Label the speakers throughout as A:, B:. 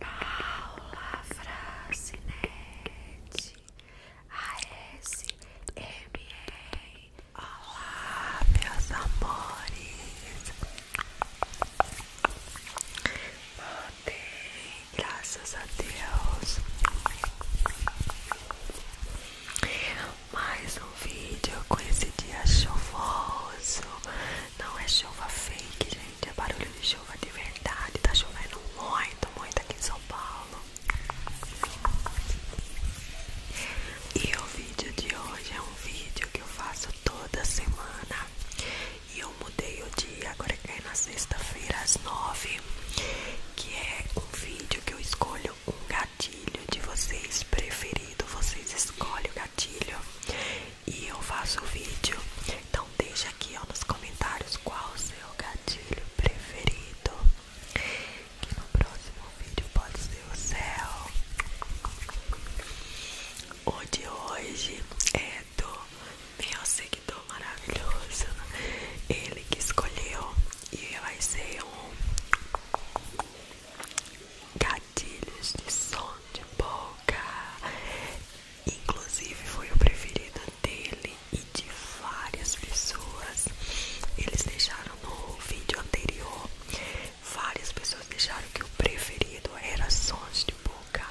A: Paula Francinete ASMR Olá meus amores Mandei, graças a Deus mais um vídeo com esse dia chuvoso Não é chuva fake, gente gente, é barulho de chuva de verdade, tá chovendo muito, muito aqui em São Paulo. E o vídeo de hoje é um vídeo que eu faço toda semana. E eu mudei o dia, agora é que é na sexta-feira às nove. Que é um vídeo que eu escolho um gatilho de vocês preferido. Vocês escolhem o gatilho e eu faço o vídeo. Então deixa aqui ó, nos comentários qual o seu gatilho preferido. Que no próximo vídeo pode ser o céu. O de hoje é do meu seguidor maravilhoso. Ele que escolheu e vai ser um gatilhos de som de boca. Inclusive foi o preferido dele e de várias pessoas. Eles deixaram no vídeo anterior, várias pessoas deixaram que o preferido era sons de boca.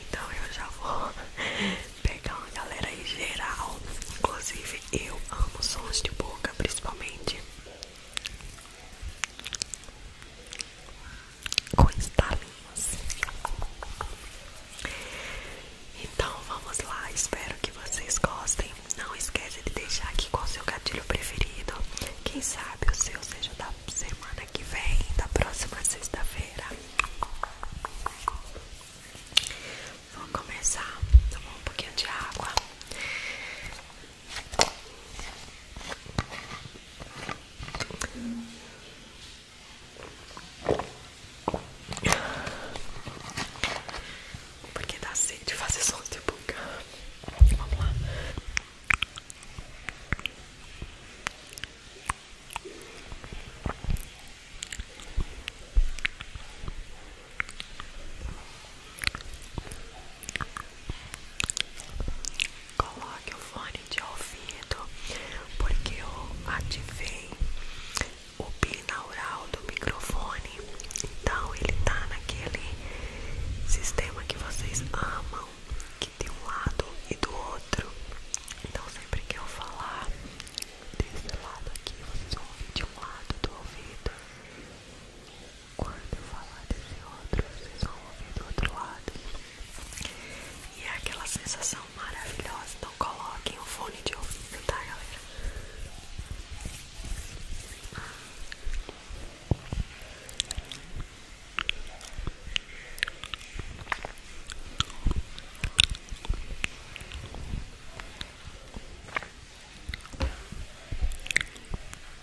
A: Então eu já vou pegar uma galera em geral. Inclusive eu amo sons de boca, principalmente com estalinhos. Então vamos lá, espero que vocês gostem. Não esquece de deixar aqui qual o seu gatilho preferido. Quem sabe o seu seja da semana que vem, da próxima sexta-feira. Vou começar, tomar um pouquinho de água. Porque dá sede fazer som de boca. Vamos lá. Coloque o fone de ouvido, porque eu ativei o binaural do microfone. Então ele tá naquele sistema que vocês amam, que tem um lado e do outro. Então sempre que eu falar desse lado aqui, vocês ouvem de um lado do ouvido. Quando eu falar desse outro, vocês vão ouvir do outro lado. E é aquela sensação maravilhosa. Então coloquem o fone de ouvido, tá, galera? Hum.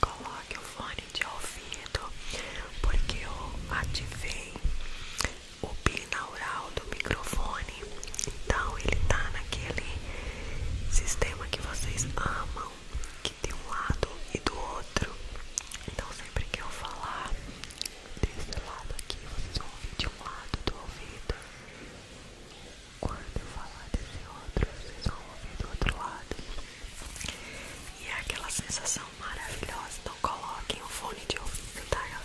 A: Coloque o fone de ouvido porque eu ativei o binaural do microfone. Então ele tá naquele sistema que vocês amam, que tem um lado e do outro. Então sempre que eu falar desse lado aqui, vocês vão ouvir de um lado do ouvido. Quando eu falar desse outro, vocês vão ouvir do outro lado. E é aquela sensação maravilhosa. Então coloquem o fone de ouvido, tá galera?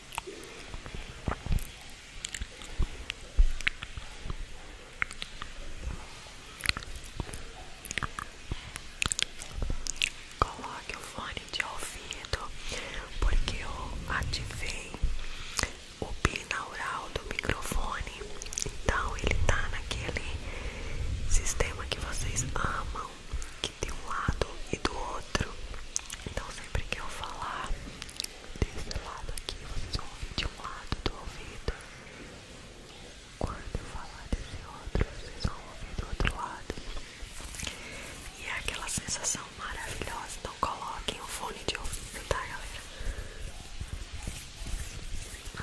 A: Coloque o fone de ouvido, porque eu ativei o binaural do microfone, então ele tá naquele sistema que vocês amam mão que tem um lado e do outro. Então sempre que eu falar desse lado aqui, vocês vão ouvir de um lado do ouvido. Quando eu falar desse outro, vocês vão ouvir do outro lado. E é aquela sensação maravilhosa. Então coloquem o fone de ouvido, tá galera? Hum.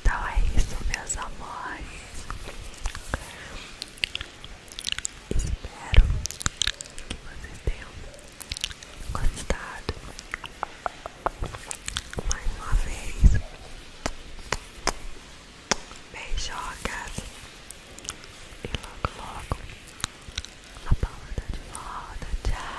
A: Então é isso, meus amores. Espero que você tenha gostado. Mais uma vez, beijocas e logo, logo a Paula tá de volta. Tchau.